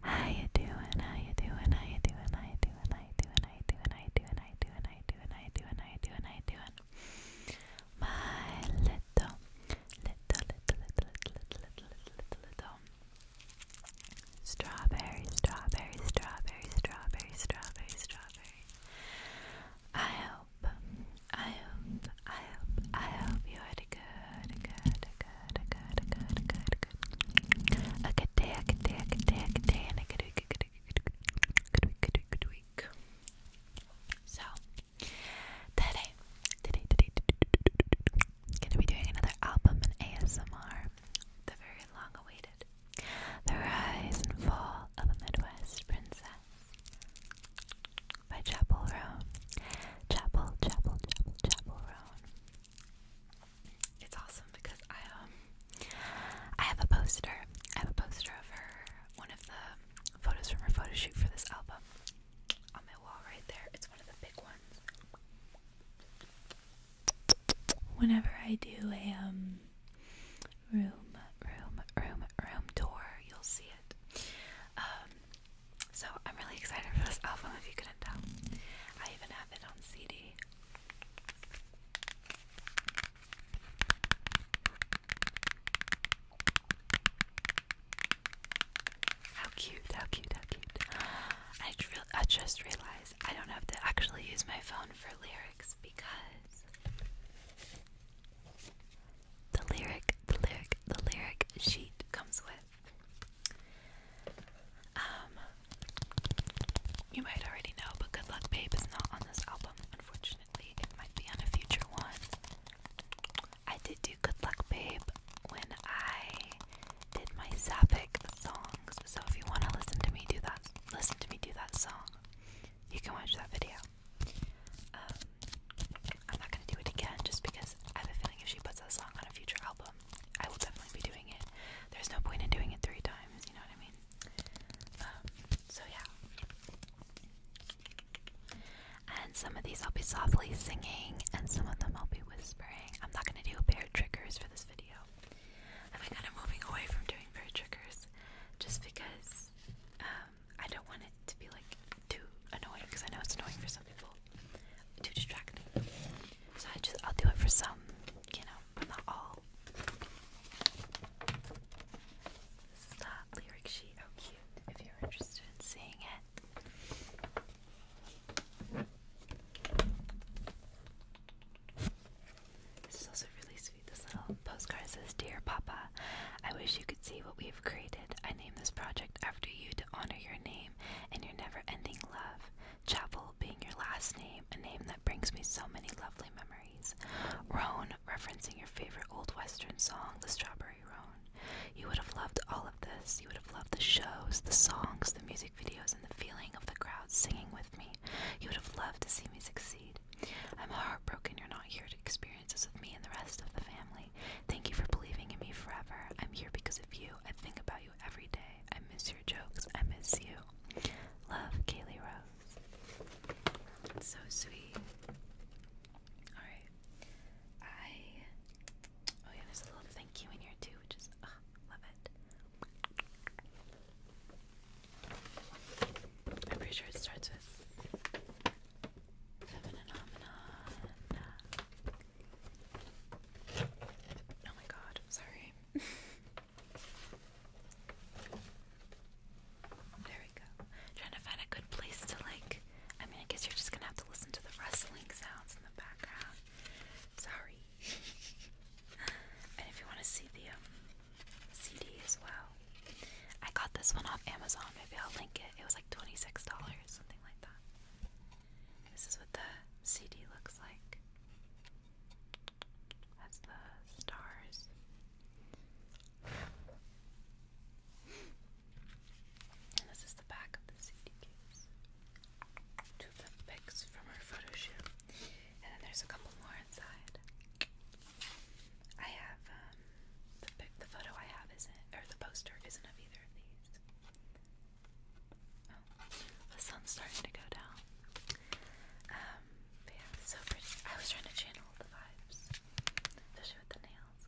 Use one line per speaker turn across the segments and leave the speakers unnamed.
How you doing? How you doing? How you doing? How you doing? How you doing? How you doing? How you doing? How you doing? How you doing? How you doing? My little, little, little, little, little, little, little, little strawberry, strawberry, strawberry, strawberry, strawberry, strawberry. I I hope, I hope, I hope you had a good, good, good, good, good, good, good, a good day, a good day, a good day, a good day, and a good week, a good week, good week, good week, good week. So today, today, today, gonna be doing another album in ASMR, the very long-awaited, the rise and fall of a Midwest princess by Chapel Roan. Chapel, Chapel, Chapel, Chapel Roan. It's awesome because I um I have a poster. I have a poster of one of the photos from her photo shoot for this album on my wall right there. It's one of the big ones. Whenever I do a um room, room, room, room door. You'll see it. Um, so I'm really excited for this album. If you couldn't tell, I even have it on CD. How cute, how cute, how cute. I just realized I don't have to actually use my phone for lyrics because the lyric, the lyric, the lyric sheet comes with. Um, you might already know, but Good Luck Babe is not on this album, unfortunately. It might be on a future one. I did do Good Luck Babe when I did my Sapphic songs, so if you want to listen to me do that, listen to me do that song you can watch that video. Um, I'm not gonna do it again just because I have a feeling if she puts that song on a future album, I will definitely be doing it. There's no point in doing it three times, you know what I mean? Um, so yeah. And some of these I'll be softly singing, and some of them I'll be whispering. I'm not gonna do bear triggers for this video. I'm kind of moving away from doing bear triggers just because um, I don't want it to be like too annoying because I know it's annoying for some people, too distracting. So I just I'll do it for some, you know, not all. This lyric sheet. How oh, cute! If you're interested in seeing it. This is also really this little postcard says, Dear Papa, I wish you could see what we have created. I named this project after you to honor your name and your never ending love. Chapel being your last name, a name that brings me so many lovely memories. Roan, referencing your favorite old western song, The Strawberry Roan. You would have loved all of this. You would have loved the shows, the songs, the music videos, and the feeling of the crowd singing with me. You would have loved to see me succeed. I'm heartbroken you're not here to experience this with me and the rest of the family. Thank you for believing in me forever. I'm here because of you. I think about you every day. I miss your jokes. I miss you. Love, Kaylee Rose. so sweet. Alright. I. Oh, yeah, there's a little thank you in here too, which is. love it. I'm pretty sure it starts with phenomenon. Oh my god, sorry. there we go. trying to find a good place to like I mean I guess you're just gonna have to listen to the rustling sounds in the background. Sorry. and if you wanna see the um, CD as well. I got this one off Amazon. Maybe I'll link it. It was like $26, something like that. This is what the CD looks like. That's the stars. And this is the back of the CD case. Two of the pics from our photo shoot. And then there's a couple more inside. I have um, the photo I have isn't, or the poster isn't of either of these. Oh, the sun's starting to go down. Um, yeah, so pretty. I was trying to channel the vibes, especially with the nails.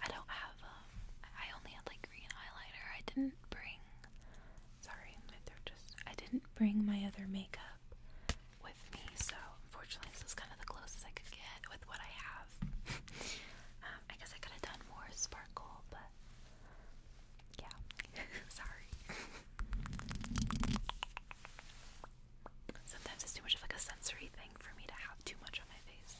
I don't have, um, I only had like green eyeliner. I didn't bring, sorry, my throat just, I didn't bring my other makeup with me, so unfortunately, this is kind of the closest I could get with what I have. Um, I guess I could have done more sparkle, but yeah, sorry. Sometimes it's too much of like a sensory thing for me to have too much on my face.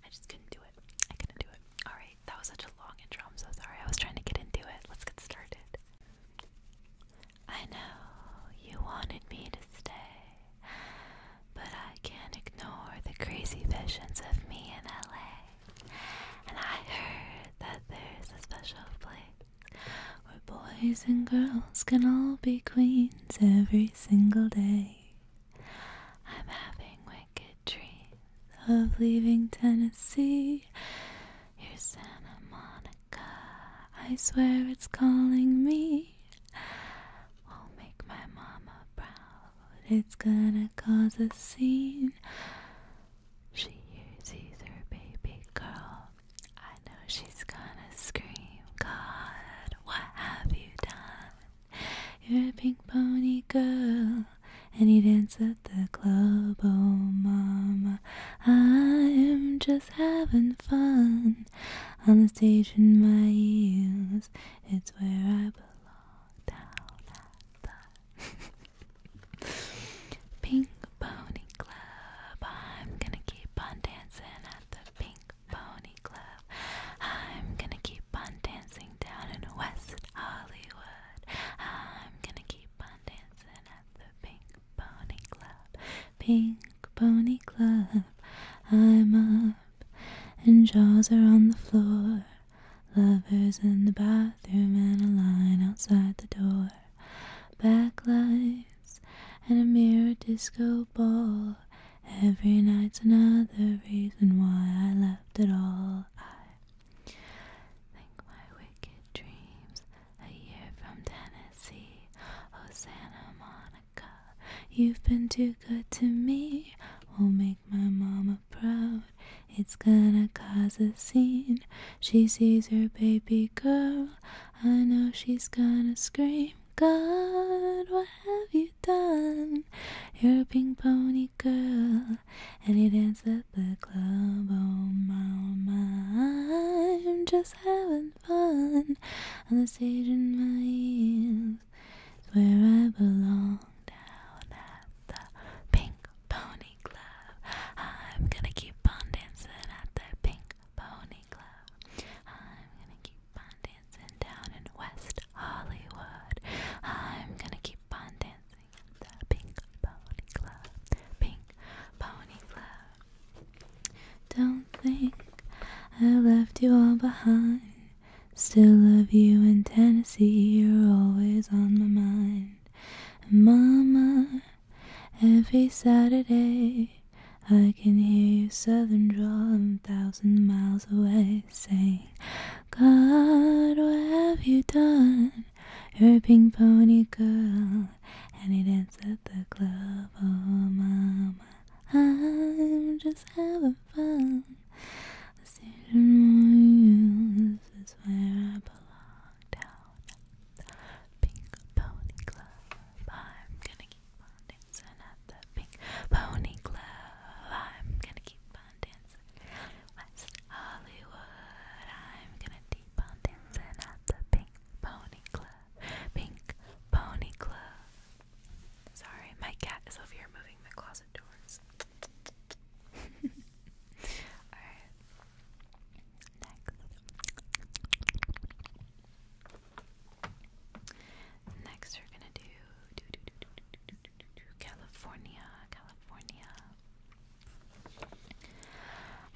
I just couldn't do it. I couldn't do it. Alright, that was such a long intro. I'm so sorry. I was trying to get into it. Let's get started. I know you wanted me to stay, but I can't ignore the crazy visions of me in LA. And I heard that there's a special place where boys and girls can all be queens every single day. I'm having wicked dreams of leaving Tennessee Here's Santa Monica. I swear it's calling me. I'll make my mama proud. It's gonna cause a scene. She uses her baby girl. I know she's gonna scream, God, what have you done? You're a pink pony girl. And you dance at the club, oh mama. I'm just having fun on the stage in my ears. It's where I belong down at the Pink Pony Club. I'm gonna keep on dancing at the Pink Pony Club. I'm gonna keep on dancing down in West Hollywood. I'm gonna keep on dancing at the Pink Pony Club. Pink Pony Club, I'm up, and jaws are on the floor. Lovers in the bathroom, and a line outside the door. Backlights and a mirror disco ball. Every night's another reason why I left it all. I think my wicked dreams a year from Tennessee. Oh, Santa Monica, you've been too good to me. will make my mama proud. It's gonna cause a scene. She sees her baby girl. I know she's gonna scream. God, what have you done? You're a pink pony girl, and you dance at the club. Oh, mama, I'm just just having fun. on the stage in my ears is where I belong. Down at the Pink Pony Club, I'm gonna keep on dancing at the Pink Pony Club. I'm gonna keep on dancing down in West Hollywood. I'm gonna keep on dancing at the Pink Pony Club. Pink Pony Club. Don't think I left you all behind. Still love you in Tennessee, you're always on my mind. Mama, every Saturday I can hear your southern drawl a thousand miles away saying, God, what have you done? You're a pink pony girl, and you dance at the club. Oh, mama, I'm just having fun. This is more This is where I belong. Down pink pony club. I'm gonna keep on dancing at the pink pony club. I'm gonna keep on dancing. West Hollywood. I'm gonna keep on dancing at the pink Pony Club. Pink Pony Club. Sorry, my cat is over here moving the closet doors. Alright. Next. Next, we're gonna do California, California.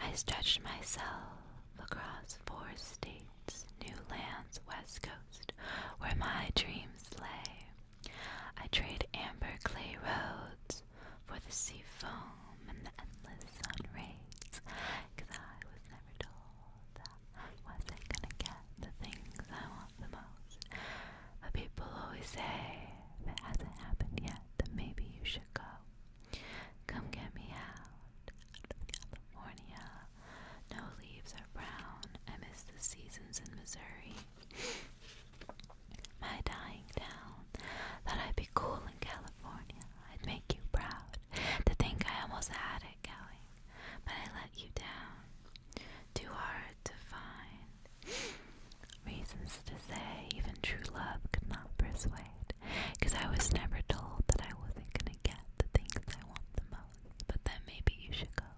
I stretched myself across four states, new lands, west coast, where my dreams lay. I traded amber clay roads for the sea foam and the endless sun rays, I was never told that I wasn't gonna get the things I want the most. But people always say, if it hasn't happened yet, then maybe you should go. Come get me out. California. No leaves are brown. I miss the seasons in Missouri. My dying town. Thought I'd be cool in California. I'd make you proud. To think I almost had it Kelly. But I let you down. Too hard to find. Reasons to say, even true love could not persuade, because I was never told that I wasn't going to get the things I want the most. But then maybe you should go.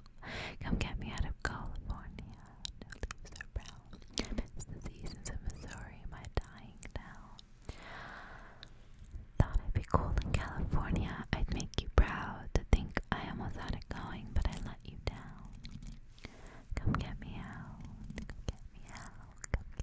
Come get me out of California. i leaves are brown. It's the seasons of Missouri, my dying town. Thought I'd be cool in California. I'd make you proud to think I almost had it going, but I let you down. Come get me out. Come get me out. Come get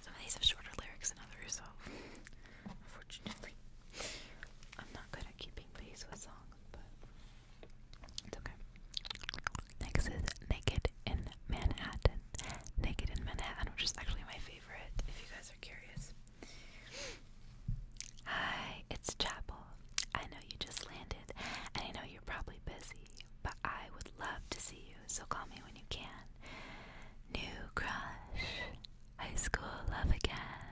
Some of these have shorter lyrics than others, so unfortunately. I'm not good at keeping pace with songs, but it's okay. Next is Naked in Manhattan. Naked in Manhattan, which is actually my favorite, if you guys are curious. Hi, it's Chapel. I know you just landed, and I know you're probably busy, but I would love to see you, so call me when you can. New crush, high school love again,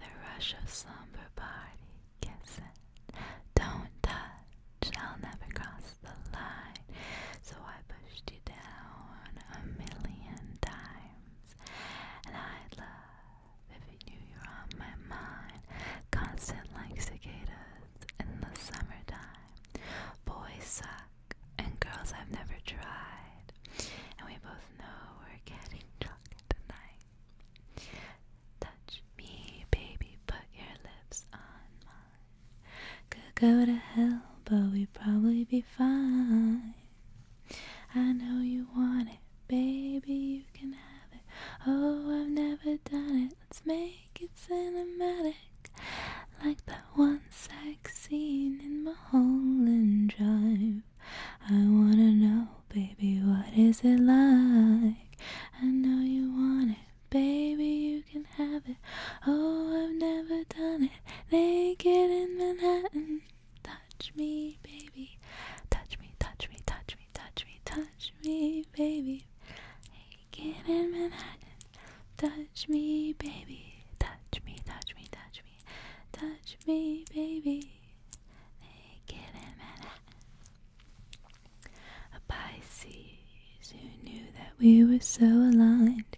the rush of slumber party kissing. Don't touch, I'll never cross the line, so I pushed you down a million times, and I'd love. If you, knew you're on my mind. Constant like cicadas in the summertime. Boys suck, and girls I've never tried. And we both know we're getting drunk tonight. Touch me, baby, put your lips on mine. Could go to hell, but we'd probably be fine. I know you want it, baby, you can have it. Oh, I've never done it. Let's make it cinematic, like that one sex scene in Mulholland Drive. I wanna know, baby, what is it like? I know you want it, baby, you can have it. Oh, I've never done it, naked in Manhattan touch me, baby. Touch me, touch me, touch me, touch me, touch me, baby. Hey, get in Manhattan. Touch me, baby. Touch me, touch me, touch me, touch me, baby. Hey, get in Manhattan. A Pisces who knew that we were so aligned.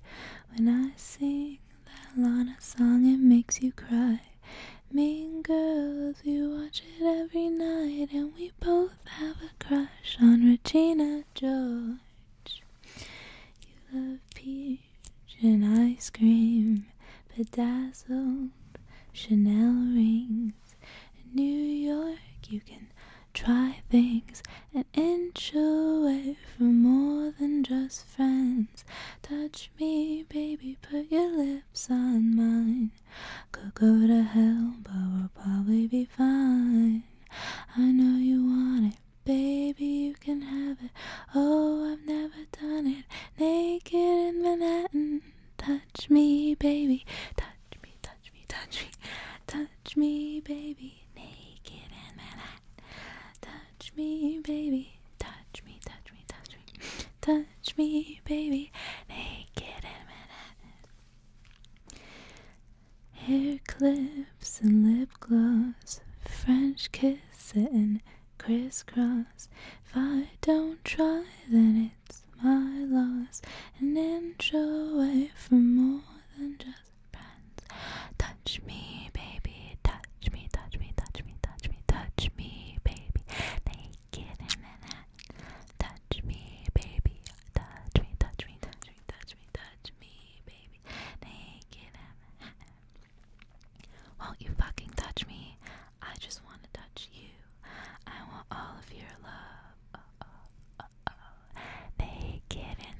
When I sing that Lana song, it makes you cry. Mean Girls, you watch it every night, and we both have a crush on Regina George. You love peach and ice cream, bedazzled Chanel rings. In New York, you can try things an inch away from more than just friends. Touch me, baby, put your lips on mine. Could go to hell, but we'll probably be fine. I know you want it, baby, you can have it. Oh, I've never done it. Naked in Manhattan, touch me, baby, touch me, touch me, touch me, touch me, baby, naked in Manhattan, touch me, baby, touch me, touch me, touch me touch me, baby, naked in Manhattan. Hair clips and lip gloss, French kissing, crisscross. If I don't try, then it's my loss. An inch away from more than just friends. Touch me, baby, touch touch me, touch me, touch me, touch me, touch me, baby. Naked in Touch me, baby. Touch me, touch me, touch me, touch me, touch me, baby. Naked in Won't you fucking touch me? I just wanna touch you. I want all of your love. Uh, uh, uh, Naked in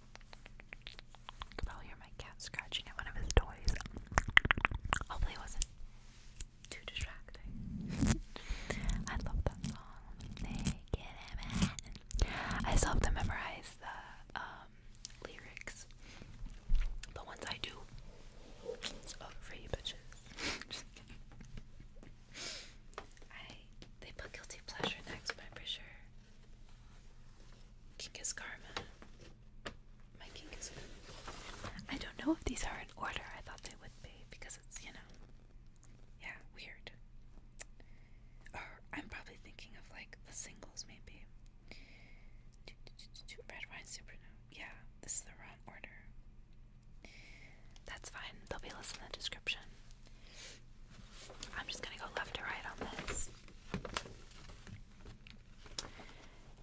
you could probably hear my cat scratching at one of his toys. Hopefully, it wasn't too distracting. I love that song. I still have to memorize the um, lyrics, but once I do, for you bitches. they put guilty pleasure next, but i sure King is Karma. My king I don't know if these are in order. I thought they would be because it's, you know, yeah, weird. Or I'm probably thinking of like the singles maybe. Red Wine Supernova. Yeah, this is the wrong order. That's fine. They'll be listed in the description. I'm just gonna go left to right on this.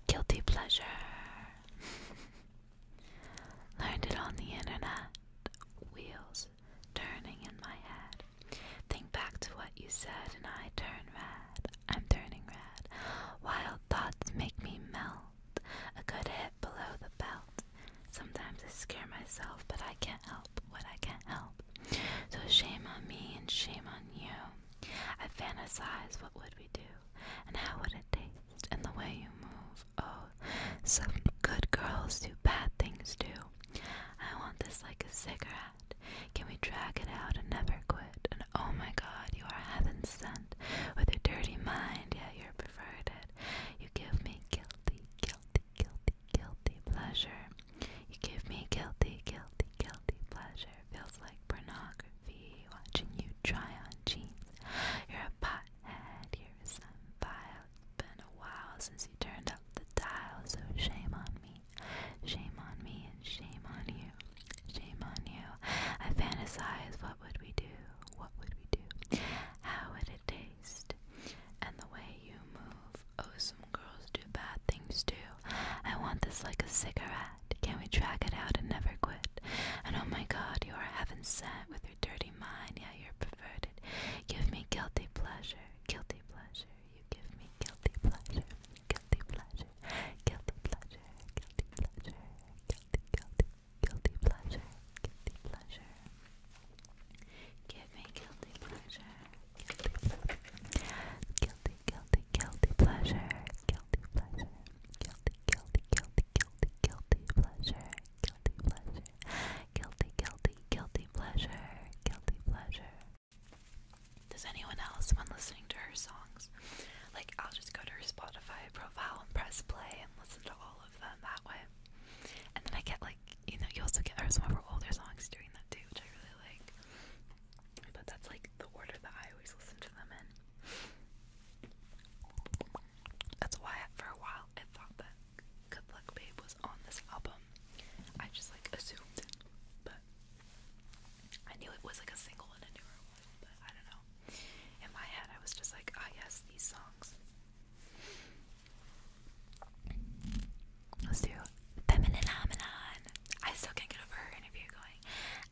Guilty pleasure. Learned it on the internet. Wheels turning in my head. Think back to what you said, and I turn red. I'm turning red. Wild thoughts make me melt. A good hit below the belt. Sometimes I scare myself, but I can't help what I can't help. So shame on me and shame on you. I fantasize what would we do, and how would it taste, and the way you move. Oh, some good girls do bad things too. I want this like a cigarette. Can we drag it out and never quit? And oh my god, you are heaven sent with a dirty mind, yeah, you're perverted. You give me guilty, guilty, guilty, guilty pleasure. You give me guilty, guilty, guilty pleasure. Feels like pornography. Watching you try on jeans. You're a pot head. You're some vile. it been a while since you turned up the dial, so shame on me. Shame on me and shame on you. Shame on you. I fantasize what would we do? What would we do? How would it taste? And the way you move, oh some girls do bad things too. I want this like a cigarette. Can we track it out and never quit? And oh my god, you are heaven sent with your dirty mind. Yeah, you're perverted. Give me guilty pleasure, guilty pleasure. You give me guilty pleasure, guilty pleasure, guilty pleasure, guilty pleasure, guilty, guilty, guilty pleasure, guilty pleasure. Give me guilty pleasure. Guilty, guilty, guilty pleasure. Guilty pleasure. Guilty, guilty, guilty, guilty, guilty pleasure. Guilty pleasure. Guilty, guilty, guilty pleasure. Guilty pleasure. Does anyone else, when listening to her songs, like I'll just go to her Spotify profile and press play and listen to all of them that way? And then I get like, you know, you also get, her some of her older songs doing that too, which I really like. But that's like the order that I always listen to them in. That's why for a while I thought that Good Luck Babe was on this album. I just like assumed, but I knew it was like a single and a newer one, I don't know. In my head, I was just like, ah, oh, these songs. Let's do Feminine Phenomenon. I still can't get over her interview going.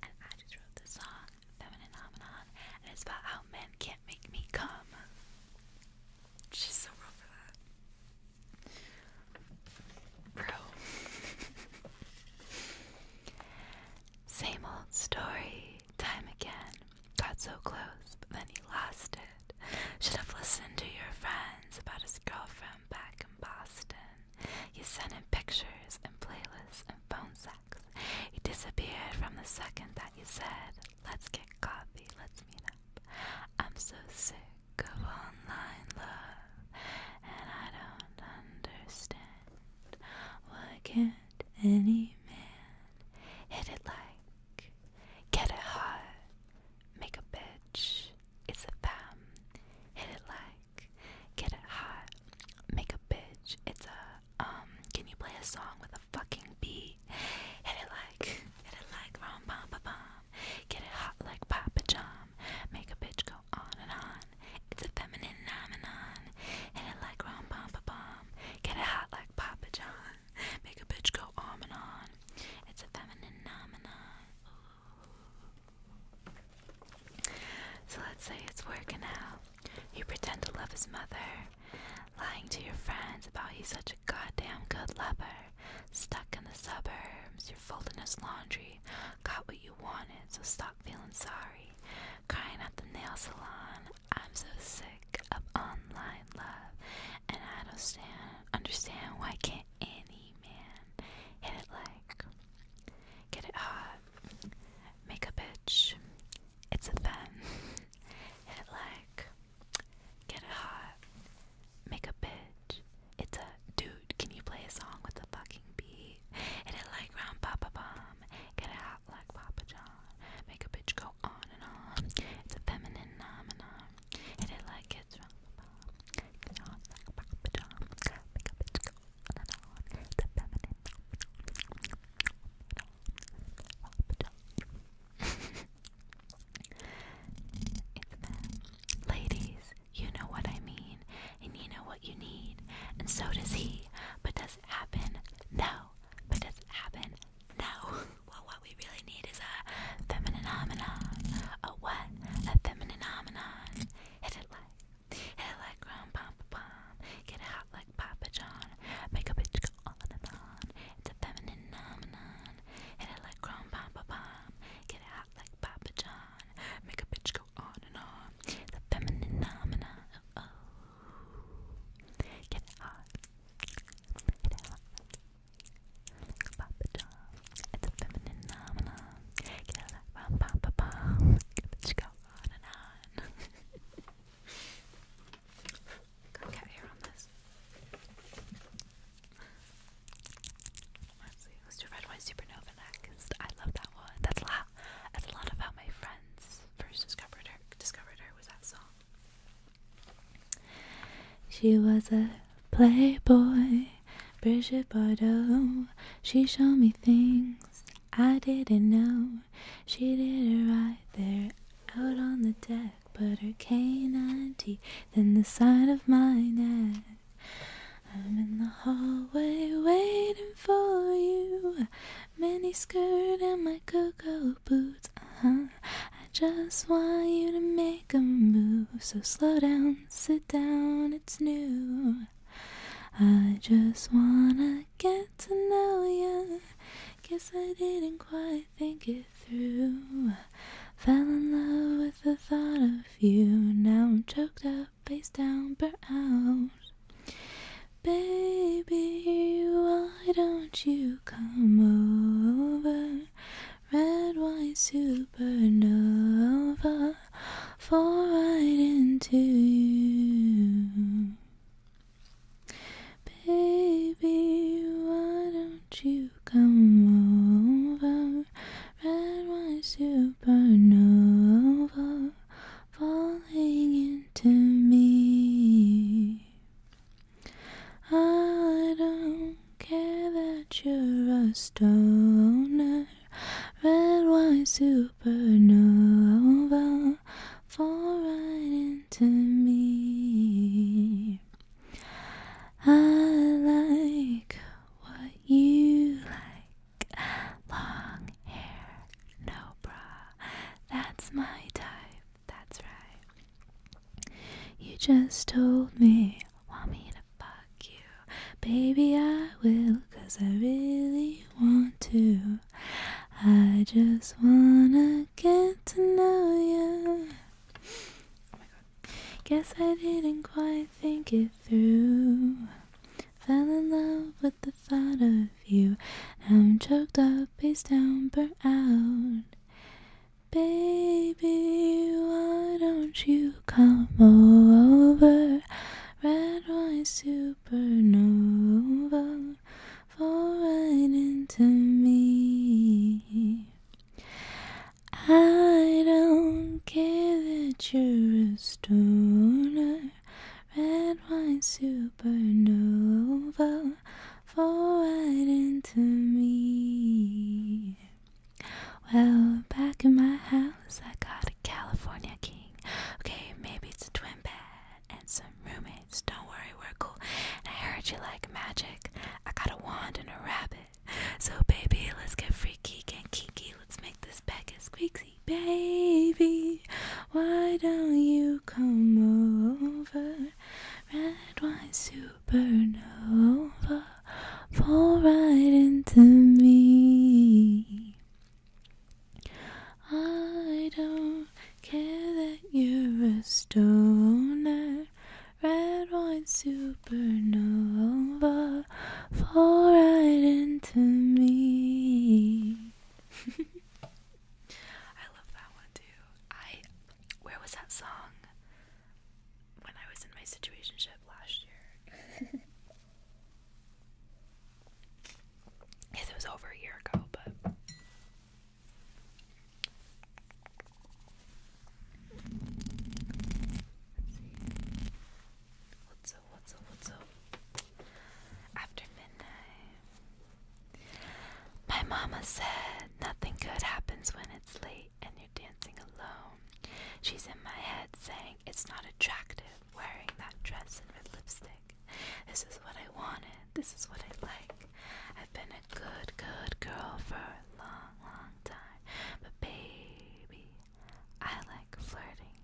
And I just wrote this song, Feminine Phenomenon, and it's about how men can't make me come. She's so real for that. Bro. Same old story, time again. Got so close, but then he lost it. Should have listened to your friends about his girlfriend back in Boston. You sent him pictures and playlists and phone sex. He disappeared from the second that you said, Let's get coffee, let's meet up. I'm so sick of online love, and I don't understand why can't any man hit it like, get it hot, make a bitch, it's a fam. Hit it like, get it hot, make a bitch. It's a um. Can you play a song with a fucking beat? Hit it like, hit it like, rom pom pom pom. Get it hot like Papa John. Make a bitch go on and on. It's a feminine phenomenon. Hit it like rom pom pom pom. Get it hot like Papa John. Make a bitch go on and on. It's a feminine phenomenon. So let's say it's working out. You pretend to love his mother, lying to your friends about he's such a goddamn good lover. Stuck in the suburbs, you're folding his laundry, got what you wanted, so stop feeling sorry. Crying at the nail salon, I'm so sick of online love, and I don't stand, understand why can't any man. Hit it like. Get it hot. Make a bitch. It's a fen. Hit it like. Get it hot. Make a bitch. It's a dude. Can you play a song with a fucking beat? Hit it like round Papa Bomb. Get it hot like Papa John. Make a bitch go on and on. It's a feminine phenomenon. Hit it like it's from Ladies, you know what I mean, and you know what you need, and so does he. But does it happen? No. But does it happen? No. Well, what we really need is a feminine homonym. A what? A feminine phenomenon. Hit it like, hit it like rum pom pom. Get it hot like Papa John. Make a bitch go on and on. It's a feminine phenomenon. Hit it like rum pom pom. Get it hot like Papa John. Make a bitch go on and on. It's a feminine phenomenon. oh. Get it hot. Get it hot it's a feminine phenomenon. Get out of that pom pom Bitch, go on and on. Let's do Red Wine Supernova next. I love that one. That's a lot. That's a lot of my friends first discovered her. Discovered her was that song. She was a playboy Bridget Bardot, she showed me things I didn't know. She did it right there out on the deck, but her canine teeth in the side of my neck. I'm in the hallway waiting for you. Mini skirt and my cocoa boots. Uh huh. I just want you to make make a move, so slow down, sit down, it's new. I just wanna get to know you. Guess I didn't quite think it through. Fell in love with the thought of you. Now I'm choked up, face down, burnt out. Baby, why don't you come over? red wine supernova, fall right into you. Baby, why don't you come over? Red white supernova falling into me. I don't care that you're a stoner. Red wine supernova, fall right into me. I like what you like. Long hair, no bra. That's my type, that's right. You just told me want me to fuck you? Baby, I will, cause I really want to. I just wanna get to know you. Oh my god. Guess I didn't quite think it through. Fell in love with the thought of you. I'm choked up, face down, burnt out. Baby, why don't you come over? Red wine supernova, fall right into me. I don't care that you're a stoner. Red wine supernova, fall right into me. Well, back in my house, I got a California king. Okay, maybe it's a twin bed and some roommates. Don't worry, we're cool. And I heard you like magic. I got a wand and a rabbit. So, baby, let's get freaky and kinky. Let's make this bed get squeaky. Baby, why don't you come over? Red wine suit? supernova fall right into me. I don't care that you're a stoner, red wine supernova fall right into me. I love that one too. I where was that song? when I was in my situation ship last year. yes, it was over a year ago, but After midnight. My mama said nothing good happens when it's late and you're dancing alone. She's in my head saying it's not attractive wearing that dress and red lipstick. This is what I wanted. This is what I like. I've been a good, good girl for a long, long time. But baby, I like flirting.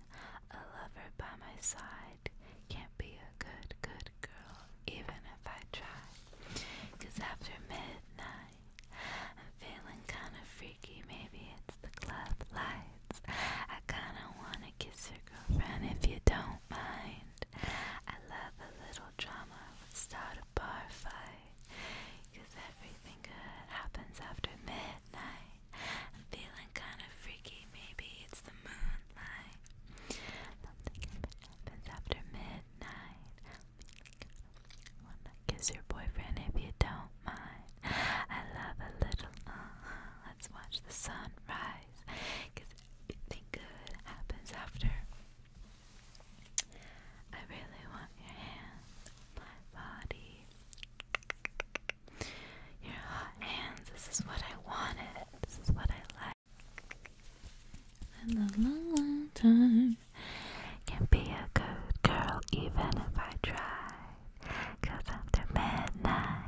A lover by my side can't be a good, good girl, even if I try. Cause after midnight, I'm feeling kinda freaky, maybe it's the club lights. I kinda wanna kiss your girlfriend if you don't mind. I love a little drama, start a bar fight. everything good happens after midnight. I'm feeling kinda freaky, maybe it's the moonlight. Something happens after midnight. Wanna kiss your boyfriend if you don't mind. I love a little uh, Let's watch the sun rise. Cause good happens after. I really want your hands on my body. Your hot hands, this is what I wanted. This is what I like. And a long, long time can be a good girl even if I try. Cause after midnight,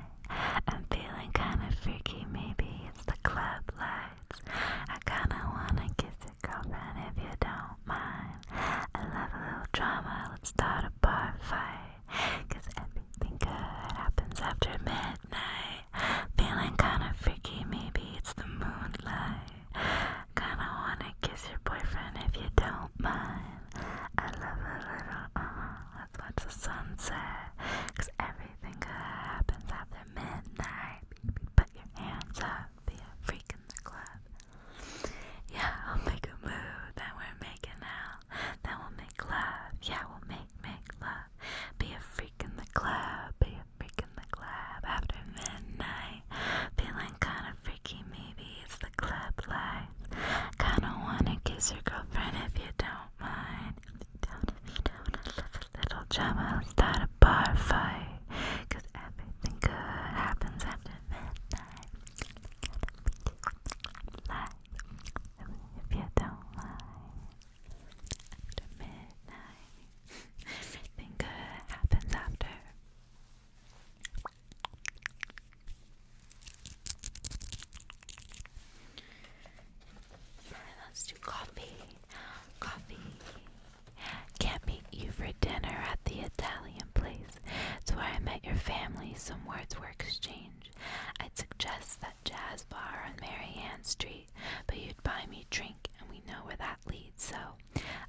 I'm feeling kinda freaky. Maybe it's the club lights. I kinda wanna kiss your and if you don't mind. I love a little drama, let's start a bar fight. Cause everything good happens after midnight. Feeling kinda freaky, maybe it's the moonlight. Kinda wanna kiss your boyfriend if you don't mind. I love a little, uh, let's watch the sunset. Cause everything good happens after midnight. Put your hands up, be a freak in the club. Yeah, I'll make a move, then we're making out. Then we'll make love, yeah, we'll make, make love. Be a freak in the club, be freaking the club after midnight. Feeling kinda freaky, maybe it's the club lights. Kinda wanna kiss your girlfriend if you don't mind. don't, if you love a little drama, start a bar fight. everything good happens after midnight. if you don't mind. After midnight, everything good happens after let's do coffee. Coffee. Can't meet you for dinner at the Italian place. It's where I met your family. Some words were exchanged. I'd suggest that jazz bar on Mary Ann Street, but you'd buy me drink, and we know where that leads, so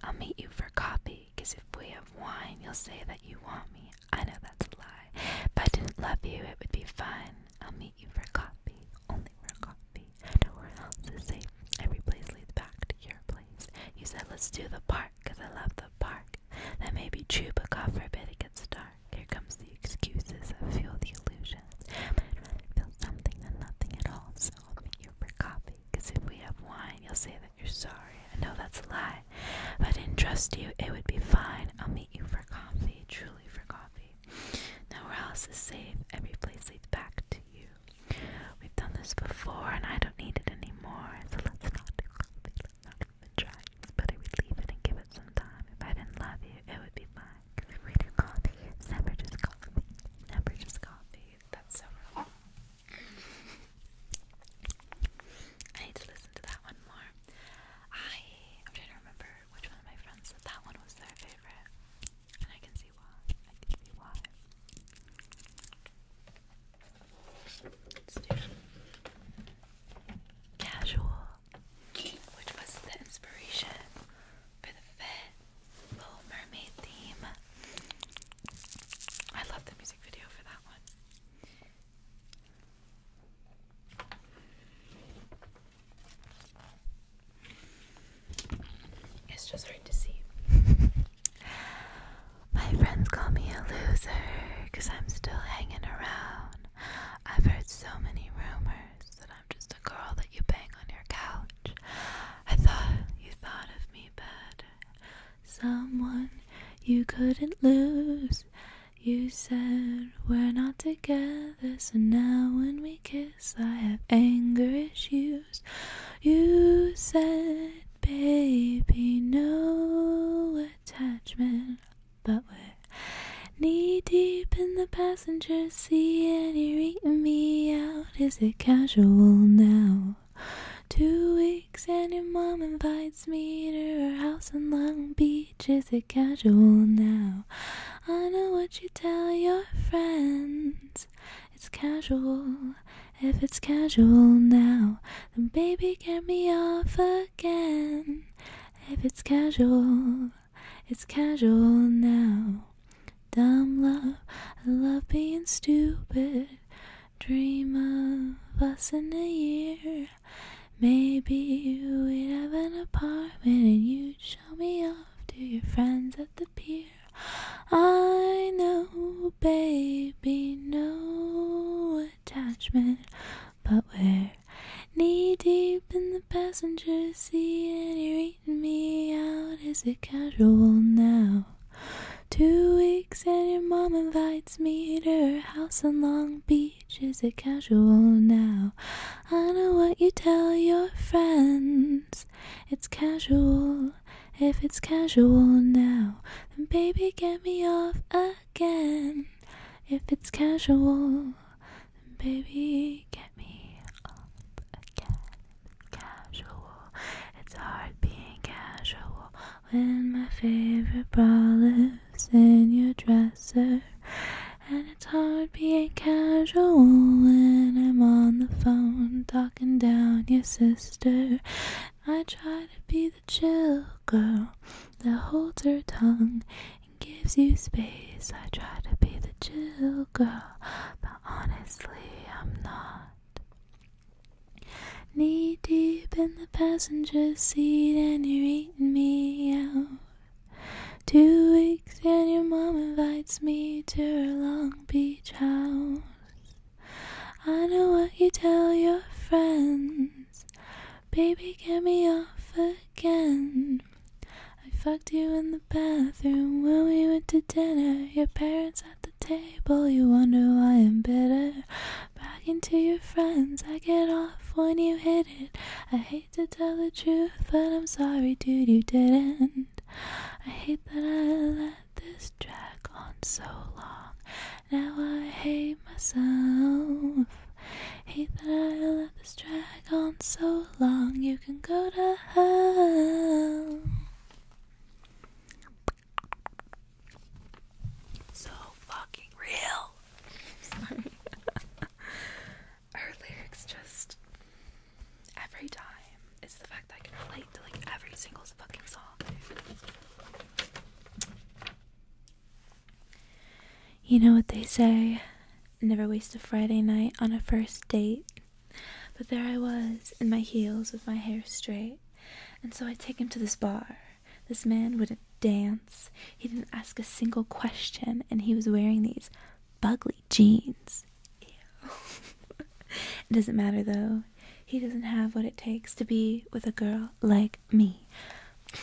I'll meet you for coffee, cause if we have wine, you'll say that you want me. I know that's a lie. If I didn't love you, it would be fun. I'll meet you for coffee, only for coffee. Nowhere else is safe. Every place leads back to your place. You said, let's do the park, cause I love the park. That may be true, but God forbid it gets dark. Here comes the excuses that fuel the illusions. i feel something than nothing at all, so I'll meet you for coffee because if we have wine, you'll say that you're sorry. I know that's a lie, but I didn't trust you. It would be fine. I'll meet you for coffee, truly for coffee. Nowhere else is safe. Every place leads back to you. We've done this before, and I don't need it anymore, so let's not do coffee. Let's not even try. It's better we leave it and give it some time. If I didn't love you, it would be fine. If we do coffee, it's just coffee. Never just coffee. That's so wrong. I need to listen to that one more. I am trying to remember which one of my friends that one was their favorite. And I can see why. I can see why. casual. Which was the inspiration for the fit. Little Mermaid theme. I love the music video for that one. It's just hard to see. My friends call me a loser I'm still hanging around. I've heard so many rumors that I'm just a girl that you bang on your couch. I thought you thought of me Someone you couldn't lose. You said we're not together, so now when we kiss, I have anger issues. You said, baby, no attachment, but we're knee deep in the passenger seat, and you're eating me out. Is it casual now? Two weeks and your mom invites me to her house in Long Beach. Is it casual now? I know what you tell your friends. It's casual. If it's casual now, then baby get me off again. If it's casual, it's casual now. Dumb love, I love being stupid. Dream of us in a year. Maybe we'd have an apartment and you'd show me off to your friends at the pier. I know, baby, no attachment, but we're knee deep in the passenger seat and you're eating me out. Is it casual now? Two weeks and your mom invites me to her house on Long Beach. Is it casual now? I know what you tell your friends. It's casual. If it's casual now, then baby, get me off again. If it's casual, then baby, get me off again casual. It's hard being casual when my favorite bra lives in your dresser. And it's hard being casual when I'm on the phone talking down your sister. I try to be the chill girl that holds her tongue and gives you space. I try to be the chill girl, but honestly, I'm not. Knee deep in the passenger seat, and you're eating me out. Two weeks, and your mom invites me to her Long Beach house. I know what you tell your friends. Baby, get me off again. I fucked you in the bathroom when we went to dinner. Your parents had table, you wonder why I'm bitter. Back into your friends, I get off when you hit it. I hate to tell the truth, but I'm sorry, dude, you didn't. I hate that I let this drag on so long. Now I hate myself. Hate that I let this drag on so long. You can go to hell. So fucking real. Sorry. Her lyrics just every time. It's the fact that I can relate to like every single fucking song. You know what they say? Never waste a Friday night on a first date. But there I was, in my heels, with my hair straight, and so I take him to this bar. This man wouldn't dance, he didn't ask a single question, and he was wearing these bugly jeans. it doesn't matter though, he doesn't have what it takes to be with a girl like me.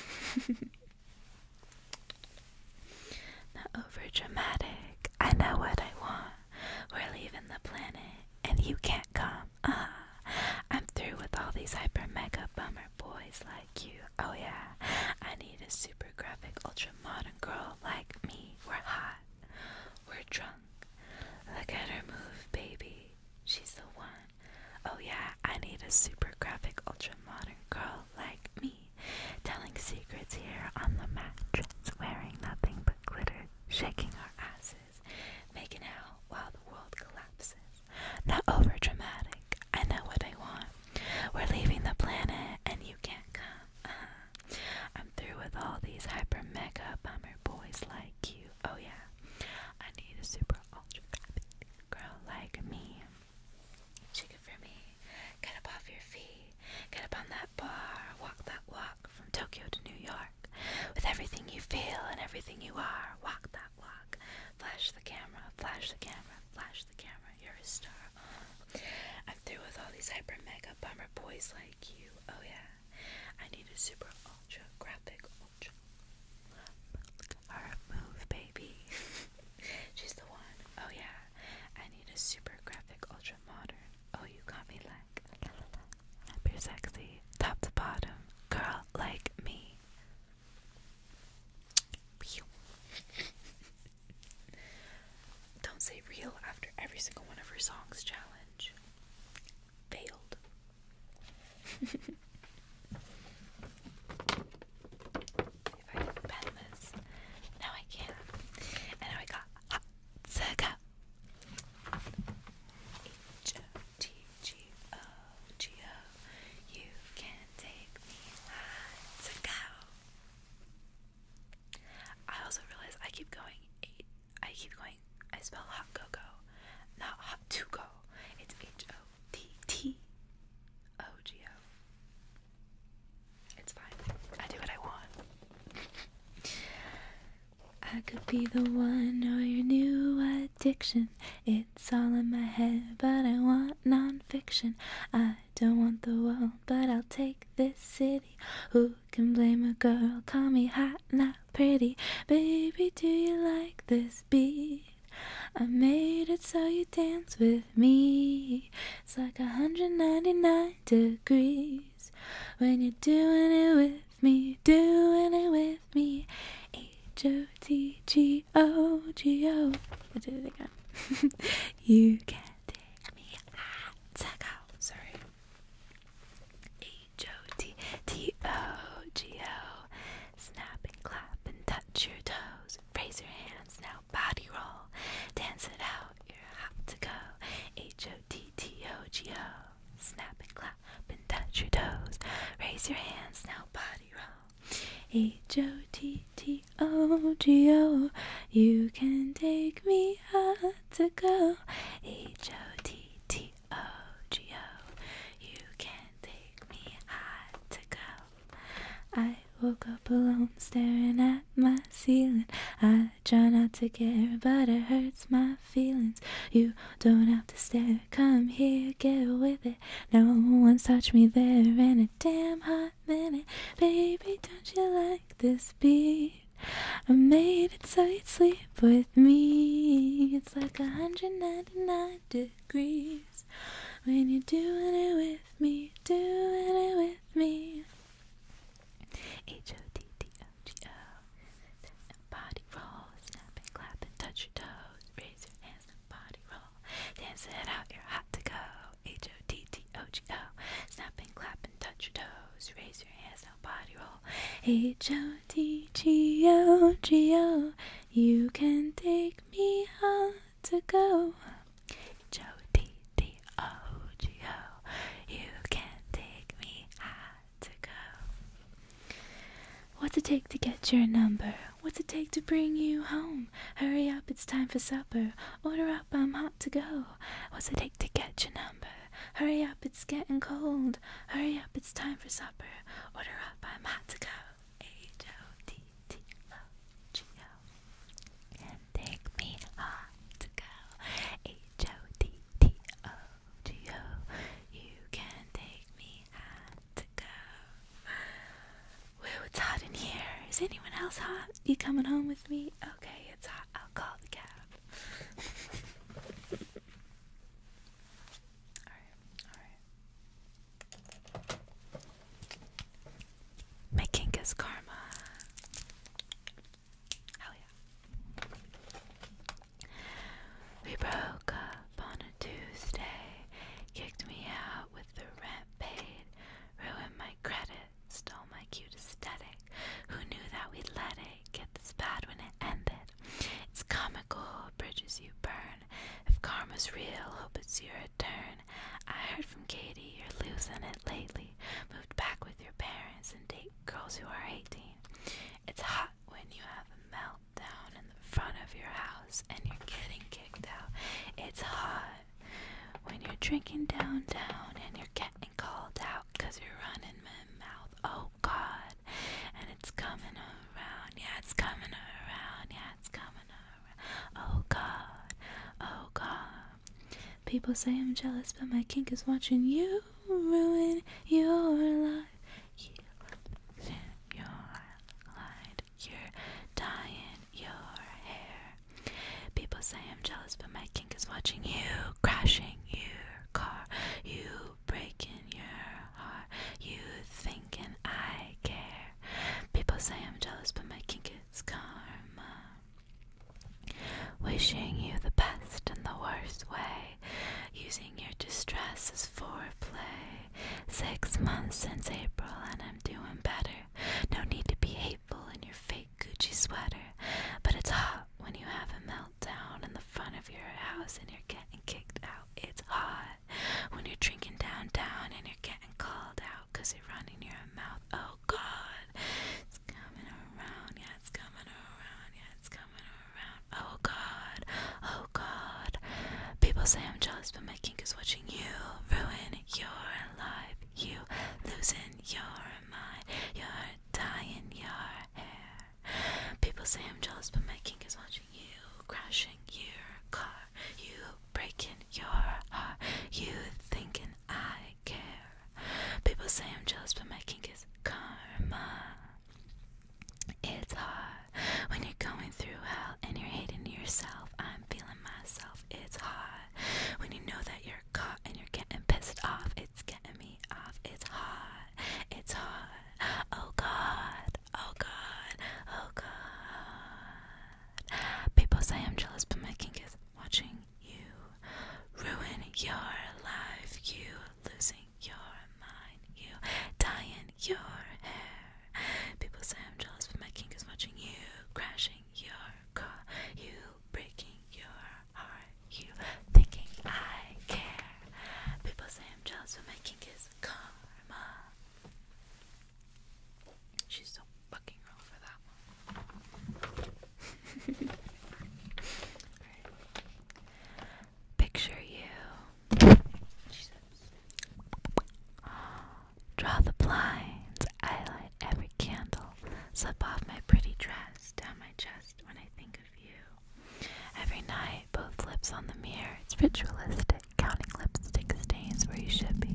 Not over dramatic. I know what I want. We're leaving the planet, and you can't come. Ah, I'm through with all these hyper mega bummer boys like you. Oh yeah, I need a super graphic ultra modern girl like me. We're hot, we're drunk. Look at her move, baby. She's the one. Oh yeah, I need a super graphic ultra modern girl like me. Telling secrets here on the mattress, wearing nothing but glitter shaking our asses, making out while the world collapses. Not over dramatic, I know what I want. We're leaving the planet and you can't come. Uh-huh. I'm through with all these hyper mega bummer boys like you. Oh yeah, I need a super ultra girl like me. Shake it for me. Get up off your feet. Get up on that walk that walk from Tokyo to New York. With everything you feel and everything you are, walk that walk. Flash the camera, flash the camera, flash the camera. You're a star. I'm through with all these hyper mega bummer boys like you. Oh yeah. I need a super ultra graphic ultra move baby. She's the one. Oh yeah. I need a super graphic ultra modern. Oh you got me like back. you're sexy, top to bottom, girl like me. Don't say real after every single one of her songs challenge. Failed. if I can bend And now I got Circa. H O T G O G O. You can take me to go. I also realize I keep going. I keep going. I spell hot go go, not hot to go. It's H O T T O G O. It's fine. I do what I want. I could be the one or your new addiction. It's all in my head, but I want nonfiction. I don't want the world, but I'll take this city. Who can blame a girl? Call me hot, not pretty. Baby, do you like this beat? I made it so you dance with me. It's like a 199 degrees when you're doing it with me, doing it with me. H O T G O G O. I did it again. you can me out. Sorry. H O T T O G O. Snap and clap and touch your toes. Raise your hands now. Body roll. Dance it out you're to go. H O T T O G O. Snap and clap and touch your toes. Raise your hands now, body roll. H O T T O G O. You can take me hot to go. H O T T O G O. You can take me hot to go. I woke up alone staring at my ceiling. I try not to care, but it hurts my feelings. You don't have to stare, come here, get with it. No one one's touched me there in a damn hot minute. Baby, don't you like this beat? I made it so you'd sleep with me. It's like 199 degrees when you're doing it with me, doing it with me. H O T T O G O. Body roll, snap and clap and touch your toes. Raise your hands and body roll. Dance it out, you're hot to go. H O T T O G O. Snap and clap and touch your toes. Raise your hands and body roll. H O T G O G O. You can take me hot to go. H O T G-D-O-G-O. You can take me high to go. What's it take to get your number? What's it take to bring you home? Hurry up, it's time for supper. Order up, I'm hot to go. What's it take to get your number? Hurry up, it's getting cold. Hurry up, it's time for supper. Order up, I'm hot to go. H O T T O G O take me on to go. H O T T O G O. You can take me on to go. Woo, it's hot in here. Is anyone else hot? You coming home with me? Okay, it's hot. I'll call the cab. Alright, alright. My kink karma. We broke up on a Tuesday, kicked me out with the rent paid, ruined my credit, stole my cute aesthetic. Who knew that we'd let it get this bad when it ended? It's comical, bridges you burn. If karma's real, hope it's your return. I heard from Katie, you're losing it lately moved back with your parents and date girls who are 18. It's hot when you have a meltdown in the front of your house and you're getting kicked out. It's hot when you're drinking downtown and you're getting called out because you're running my mouth. Oh God. And it's coming around. Yeah, it's coming around. Yeah, it's coming around. Oh God. Oh God. People say I'm jealous, but my kink is watching you ruin your life. You live your light, you're dyeing your hair. People say I'm jealous, but my kink is watching you crashing your car, you breaking your heart, you thinking I care. People say I'm jealous, but my kink is karma. Wishing you the best and the worst way, using your distress as foreplay. Six months since April, and I'm doing better. No need to be hateful in your fake Gucci sweater, but it's hot when you have a meltdown in the front of your house and you're getting kicked out. It's hot when you're drinking downtown and you're getting called out because you're running your mouth. Oh, oh God, it's coming around, yeah, it's coming around, yeah, it's coming around, oh God, oh God. People say I'm jealous, but my king is watching you ruin your life, you losing your mind, you're dying your hair. People say I'm jealous, but my king is watching you crashing your car, you breaking your heart, you thinking I care. People say I'm jealous, but my kink is karma. It's hard when you're going through hell and you're hating yourself. I'm feeling myself. It's hard when you know that you're caught and you're getting pissed off. It's getting me off. It's hard. It's hard. Oh God. Oh God. Oh God. People say I'm jealous, but my kink is watching you ruin your life, you losing your mind, you dying your hair. People say I'm jealous, but my king is watching you, crashing your car, you breaking your heart, you thinking I care. People say I'm jealous, but my king is karma. She's so fucking wrong for that Picture you. Draw the blinds. I light every candle. Slip off my pretty dress down my chest when I think of you. Every night, both lips on the mirror. It's ritualistic. Counting lipstick stains where you should be.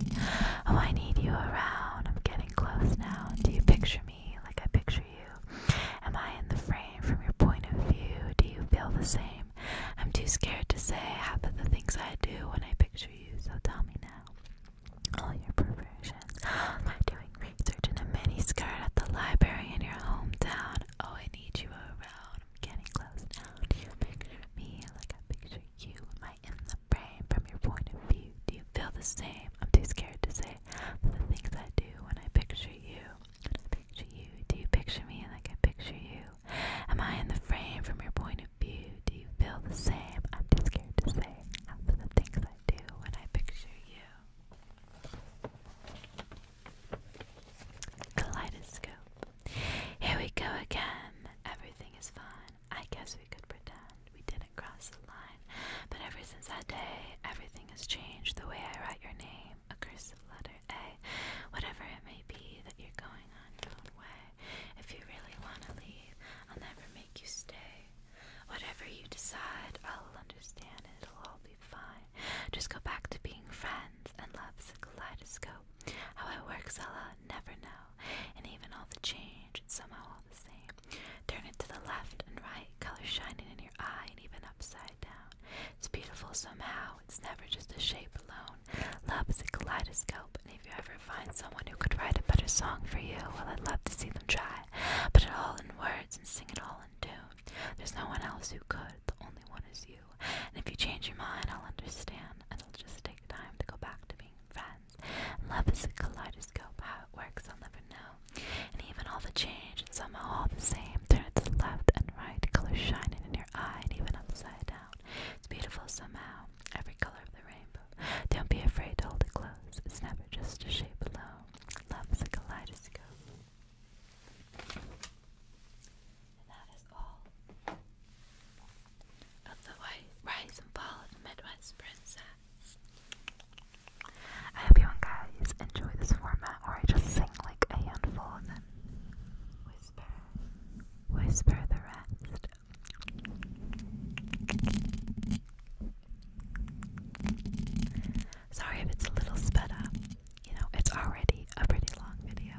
Oh, I need you around. I'm getting close now. Do you picture me? me like I picture you? Am I in the frame from your point of view? Do you feel the same? I'm too scared to say half of the things I do when I picture you, so tell me now. All your perversions. Am I doing research in a mini skirt at the library in your hometown? Oh, I need you around. I'm getting close now. Do you picture me like I picture you? Am I in the frame from your point of view? Do you feel the same? I'm too scared to say for the things I do when I picture you. picture you, do you picture me like I picture you? Am I in the frame from your point of view? Do you feel the same? I'm too scared to say out for the things I do when I picture you. Kaleidoscope. Here we go again. Everything is fine. I guess we could pretend we did had it cross the line. But ever since that day, everything has changed. The way I write your name, a cursive letter A, whatever it may be that you're going on your own way. If you really want to leave, I'll never make you stay. Whatever you decide, I'll understand and it'll all be fine. Just go back to being friends and love's a kaleidoscope. How it works, I'll never know. And even all the change, it's somehow all the same. Turn it to the left and right, colors shining in your eye and even upside down. It's beautiful somehow, it's never just a shape alone. Love is a kaleidoscope, and if you ever find someone who could write a better song for you, well, I'd love to see them try. Put it all in words and sing it all in tune. There's no one else who could, the only one is you. And if you change your mind, I'll understand, and it'll just take time to go back to being friends love is a kaleidoscope, how it works I'll never know. And even all the change, somehow all the same, turn it to left and right, colors shining in your eye and even upside down. It's beautiful somehow, every color of the rainbow. Don't be afraid to hold it close, it's never just a shape alone. Love is a kaleidoscope. And that is all of the rise and fall of Midwest princess. I hope you guys enjoy this format where I just sing like a handful and then whisper, the rest. Sorry if it's a little sped up. You know, it's already a pretty long video.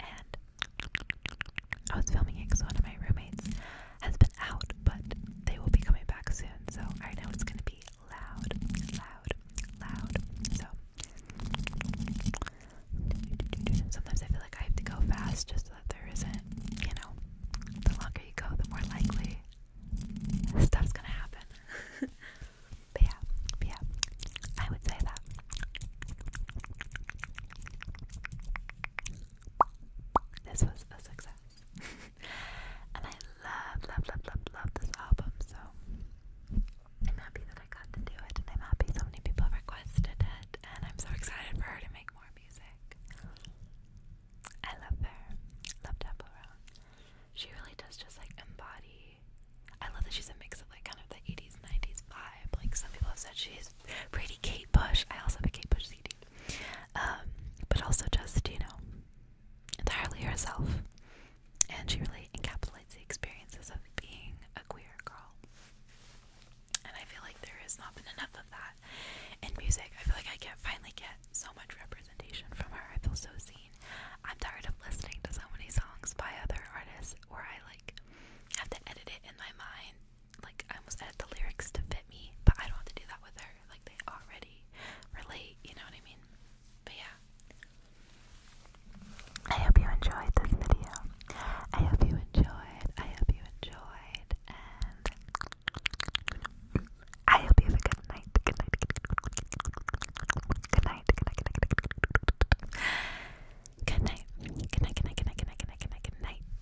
And I was filming it because one of my roommates has been out, but they will be coming back soon. So I know it's gonna be loud, loud, loud. So sometimes I feel like I have to go fast just so that there isn't, you know, the longer you go, the more likely stuff's gonna happen. but yeah, yeah, I would say that. This was a success. and I love, love, love, love, love this album. So I'm happy that I got to do it, and I'm happy so many people requested it, and I'm so excited for her to make more music. I love her. Love Temple She really does just like embody. I love that she's a mix of like kind of the 80s, 90s vibe. Like some people have said she's pretty Kate Bush. I also have Kate Bush CD. Um, but also just, you know, entirely herself. And she really encapsulates the experiences of being a queer girl. And I feel like there has not been enough of that in music. I feel like I can finally get so much representation from her. I feel so seen. I'm tired of listening to so many songs by other artists where I like have to edit it in my mind like I almost edit the lyrics to fit me, but I don't have to do that with her. Like they already relate, you know what I mean? But yeah. I hope you enjoyed this video. I hope you enjoyed. I hope you enjoyed. And I hope you have a good night. Good night. Good night. Good night. Good night. Good night. Good night. Good night.